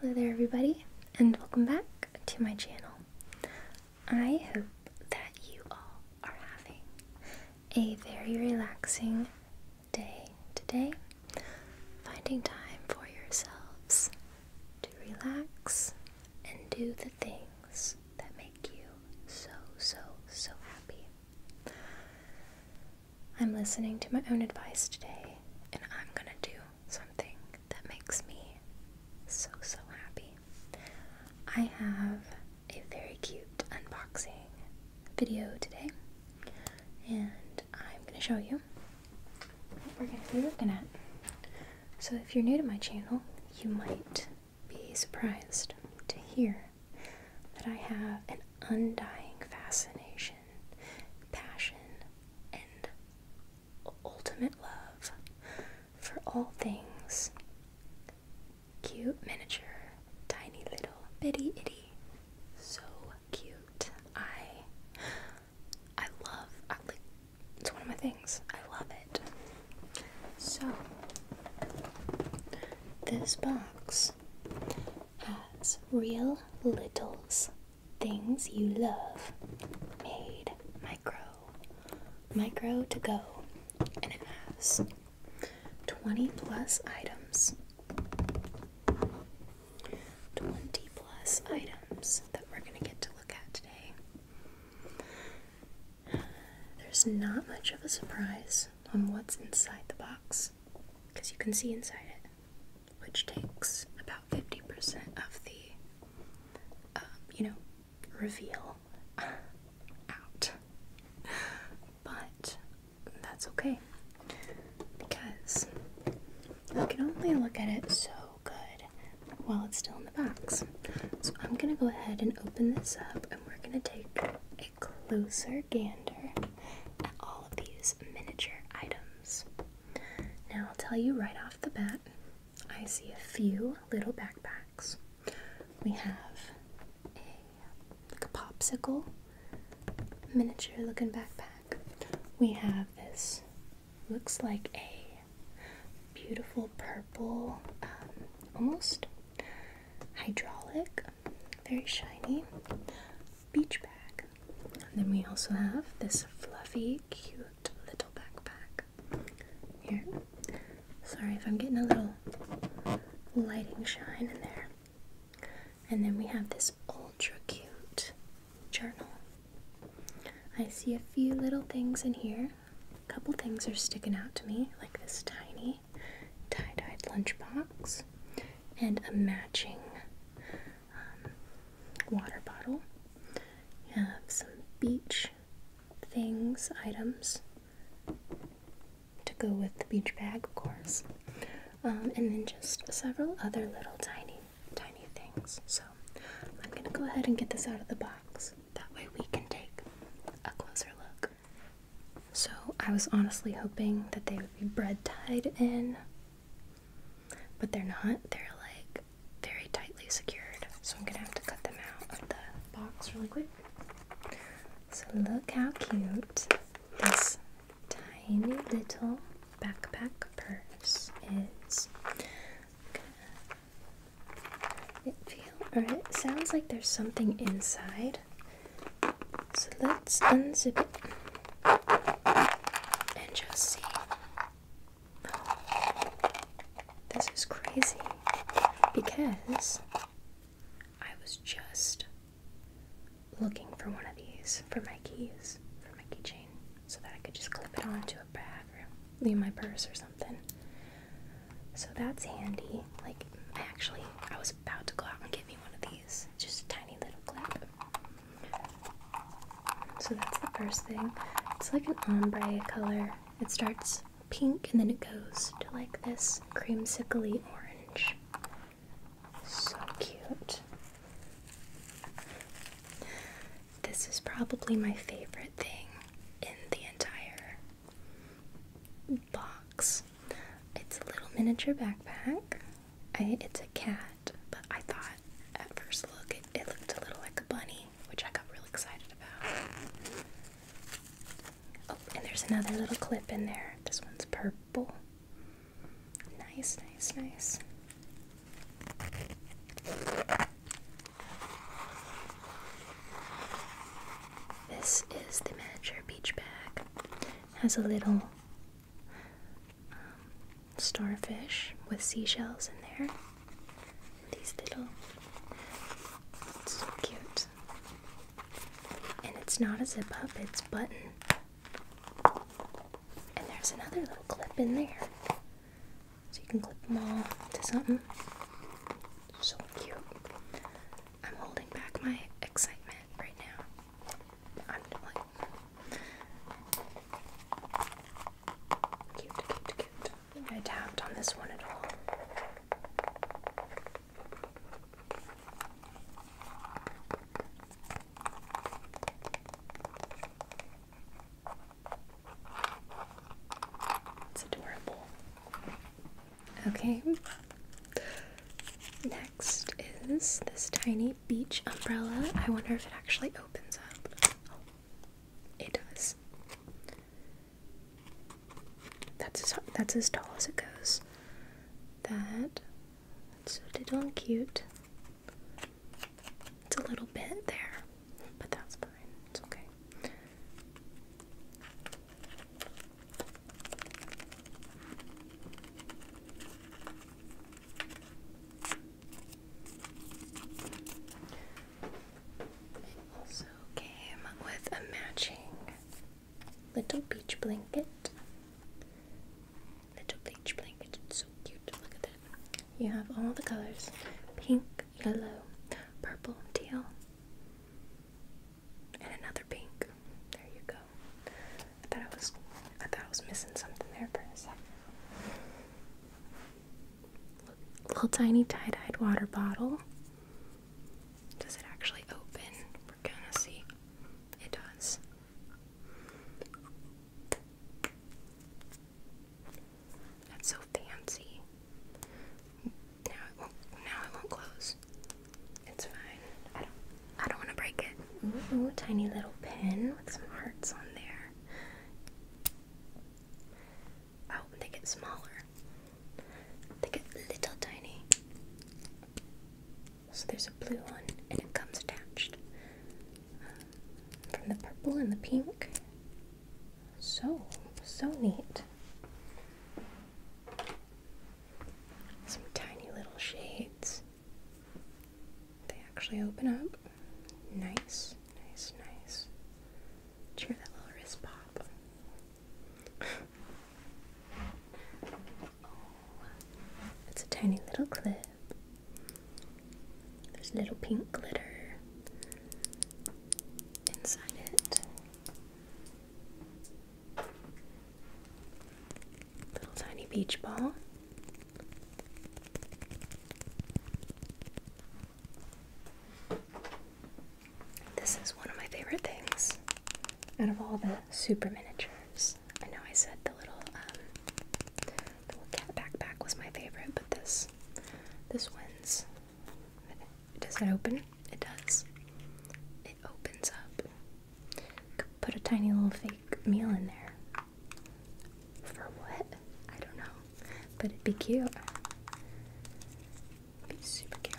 Hello there everybody and welcome back to my channel. I hope that you all are having a very relaxing day today, finding time for yourselves to relax and do the things that make you so, so, so happy. I'm listening to my own advice today and I'm gonna do something that makes me so so happy. I have a very cute unboxing video today, and I'm going to show you what we're going to be looking at. So, if you're new to my channel, you might be surprised to hear that I have an undying fascination passion, and ultimate love for all things cute, miniature, tiny little bitty itty. So cute. I I love I, it's one of my things. I love it. So this box has real littles Things you love made micro micro to go and it has 20 plus items 20 plus items that we're going to get to look at today. There's not much of a surprise on what's inside the box because you can see inside it which takes about 50% of the, um, you know, reveal out. But that's okay because you can only look at it so good while it's still in the box. So I'm gonna go ahead and open this up and we're gonna take a closer gander at all of these miniature items. Now, I'll tell you right off the bat, I see a few little backpacks. We have a like a popsicle miniature looking backpack. We have this looks like a beautiful purple um, almost hydraulic very shiny beach bag and then we also have this fluffy, cute little backpack here. Sorry if I'm getting a little lighting shine in there. And then we have this ultra cute journal. I see a few little things in here. A couple things are sticking out to me, like this tiny tie-dyed lunchbox and a matching um, water bottle. You have some beach things, items to go with the beach bag, of course. Um, and then just several other little tiny, tiny things. So I'm going to go ahead and get this out of the box. That way we can take a closer look. So I was honestly hoping that they would be bread tied in but they're not. They're like very tightly secured, so I'm gonna have to cut them out of the box really quick. So look how cute this tiny little backpack purse is. It feels or it sounds like there's something inside. So let's unzip it and just see this is crazy because I was just looking for one of these for my keys, for my keychain, so that I could just clip it onto a bag or leave my purse or something. So that's handy. Like, I actually, I was about to go out and get me one of these, just a tiny little clip. So that's the first thing. It's like an ombre color. It starts pink and then it goes to like this creamsicle orange. So cute. This is probably my favorite thing in the entire box. It's a little miniature backpack. it's a cat but I thought at first look it, looked a little like a bunny, which I got really excited about. Oh, and there's another little clip in there. This one's purple. Nice, nice, nice. This is the miniature beach bag. Has a little um, starfish with seashells in there. These little. so cute. And it's not a zip up, it's button. And there's another little clip in there. So you can clip them all to something. So cute. I'm holding back my excitement right now. I'm like. I I tapped on this one at all. It's adorable. Okay. Next is this tiny beach umbrella. I wonder if it actually opens up. Oh, it does. That's as, that's as tall as it goes. That. That's so diddle cute. It's a little bit there, but that's fine. It's okay. Also came with a matching little beach blanket. Little beach blanket, it's so cute. Look at that. You have all the colors pink, yellow, purple, teal, and another pink. There you go. I thought I was I thought I was missing something there for a second. Little tiny tie-dyed water bottle. Does it actually open? We're gonna see. It does. That's so fancy. Now it won't. Now it won't close. It's fine. I don't. I don't want to break it. Ooh, tiny little pin with some hearts on there. Oh, they get smaller. They get little tiny. So there's a blue one, and it comes attached um, from the purple and the pink. So, so neat. Some tiny little shades. They actually open up. Nice, nice, nice. hear that little wrist pop? oh, it's a tiny little clip. There's a little pink glitter inside it. Little tiny beach ball. This is one of my favorite things out of all the super miniatures. I know I said the little um, the little cat backpack was my favorite, but this this wins. Does it open? It does. It opens up. put a tiny little fake meal in there. For what? I don't know. But it'd be cute. be super cute.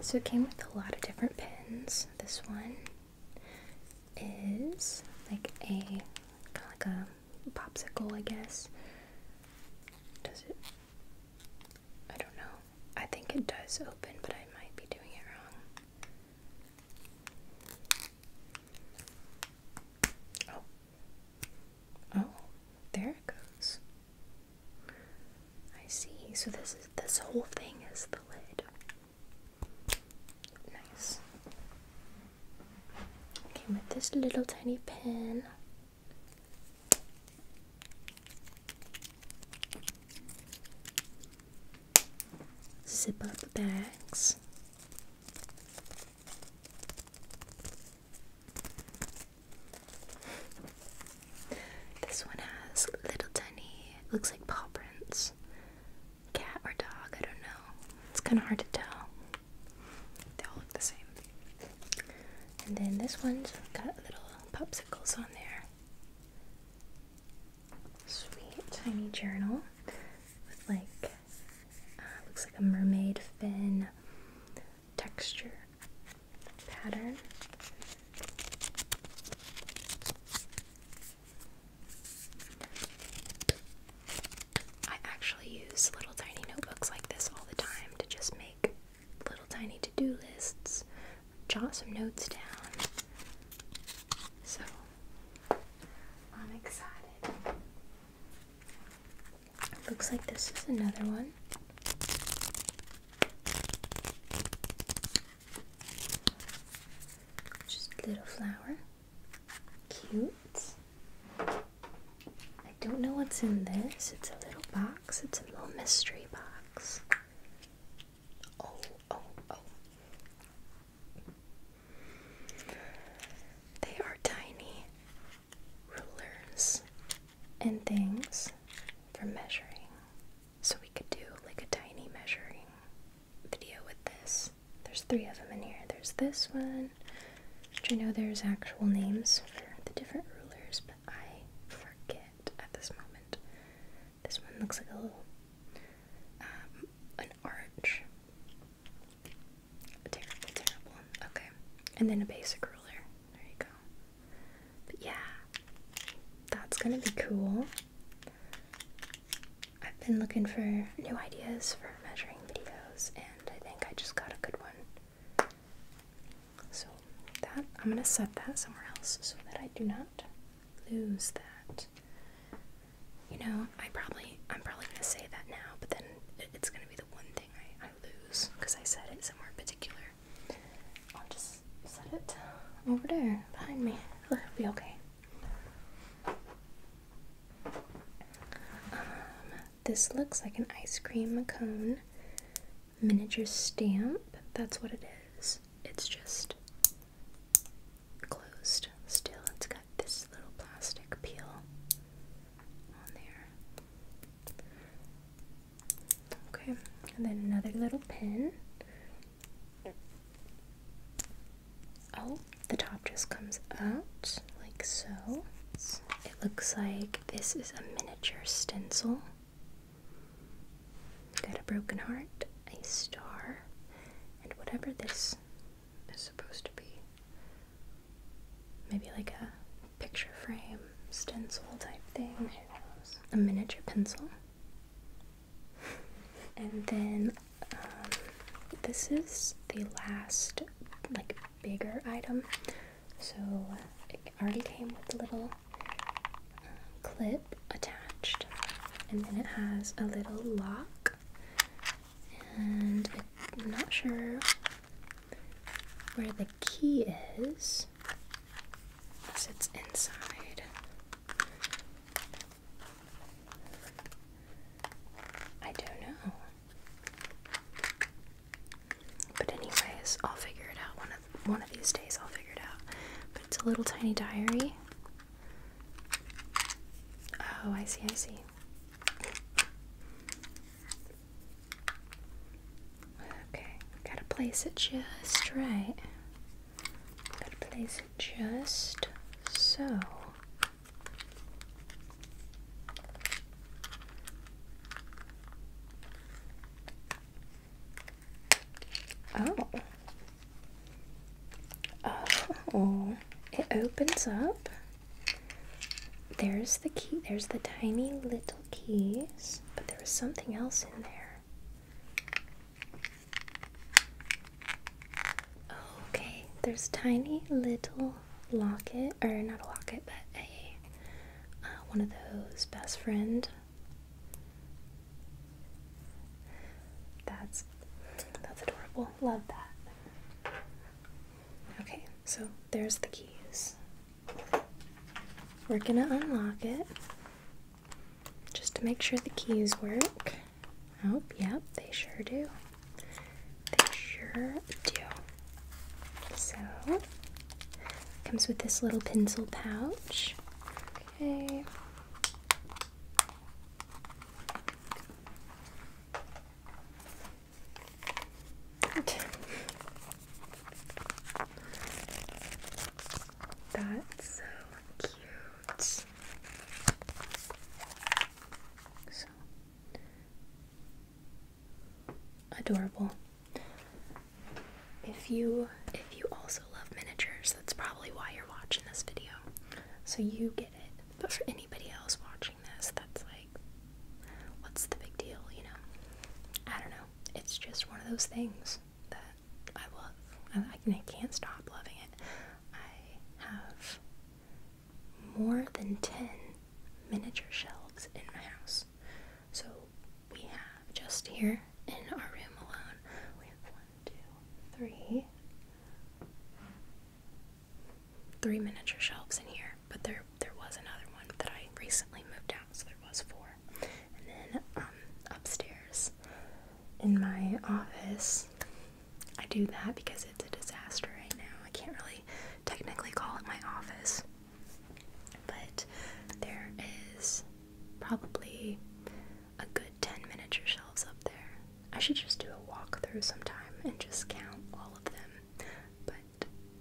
So it came with a lot of different pins. This one is like a kind of like a popsicle, I guess. Does it? I don't know. I think it does open, but I might be doing it wrong. Oh. Oh, there it goes. I see. So this is this whole thing is the lid. Nice. Okay, with this little tiny pin zip up the bags. This one has little tiny, looks like paw prints. Cat or dog, I don't know. It's kind of hard to tell. They all look the same. And then this one's got little popsicles on there sweet tiny journal with like uh, looks like a mermaid fin texture pattern. I actually use little tiny notebooks like this all the time to just make little tiny to-do lists jot some notes down. So I'm excited. Looks like this is another one. Just little flower. Cute. I don't know what's in this. It's a little box. It's a little mystery box. Oh, oh, oh. They are tiny rulers and things for measuring. So we could do like a tiny measuring video with this. There's three of them in here. There's this one, which I know there's actual names for the different rulers, but I forget at this moment. This one looks like a little, um, an arch. Terrible, terrible. Okay. And then a basic ruler. There you go. But yeah, that's gonna be cool. I've been looking for new ideas for measuring videos, and I think I just got a good one. So that I'm gonna set that somewhere else so that I do not lose that you know, I probably I'm probably gonna say that now, but then it's gonna be the one thing I, I lose because I said it somewhere particular. I'll just set it over there behind me. It'll be okay. Um, this looks like an ice cream cone miniature stamp. That's what it is it's just closed still. It's got this little plastic peel on there. Okay, and then another little pin. Oh, the top just comes out like so. It looks like this is a miniature stencil. Got a broken heart, a star, and whatever this is supposed to be. Maybe like a picture frame, stencil type thing. A miniature pencil. and then um, this is the last, like, bigger item. So it already came with a little uh, clip attached, and then it has a little lock. And I'm not sure where the key is, unless it's inside. I don't know. But anyways, I'll figure it out one of one of these days. I'll figure it out. But it's a little tiny diary, Oh, I see, I see. Okay, gotta place it just right. Gotta place it just so. Oh, uh, oh, it opens up. There's the key. There's the tiny little keys, but there was something else in there. okay, there's tiny little locket, or not a locket, but a uh, one of those best friend that's that's adorable. Love that. Okay, so there's the keys. We're gonna unlock it just to make sure the keys work. Oh, yep, they sure do. They sure do. So comes with this little pencil pouch. Okay. That's so cute. So adorable. If you if you also love miniatures, that's probably why you're watching this video so you get it. But for anybody else watching this, that's like, what's the big deal, you know? I don't know. It's just one of those things that I love. I, can't stop loving it. I have more than 10 miniature shelves in my house. So we have just here in our room alone, we have one, two, three, three miniature shelves in here, but there there was another one that I recently moved out, so there was four. And then um, upstairs in my office, I do that because it's a disaster right now. I can't really technically call it my office, but there is probably a good 10 miniature shelves up there. I should just do a walkthrough sometime and just count all of them, but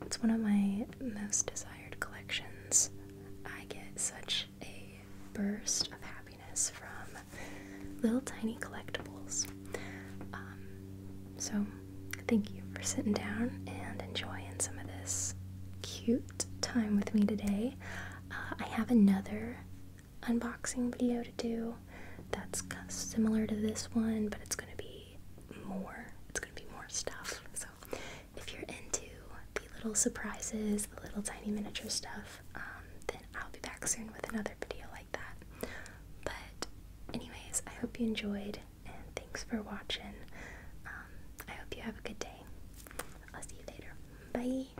it's one of my most desired collections. I get such a burst of happiness from little tiny collectibles. Um, so, thank you for sitting down and enjoying some of this cute time with me today. Uh, I have another unboxing video to do that's similar to this one, but it's going to be more. It's going to be more stuff. So if you're into the little surprises, the little tiny miniature stuff, um, then I'll be back soon with another video like that. But anyways, I hope you enjoyed and thanks for watching. Um, I hope you have a good day. I'll see you later. Bye.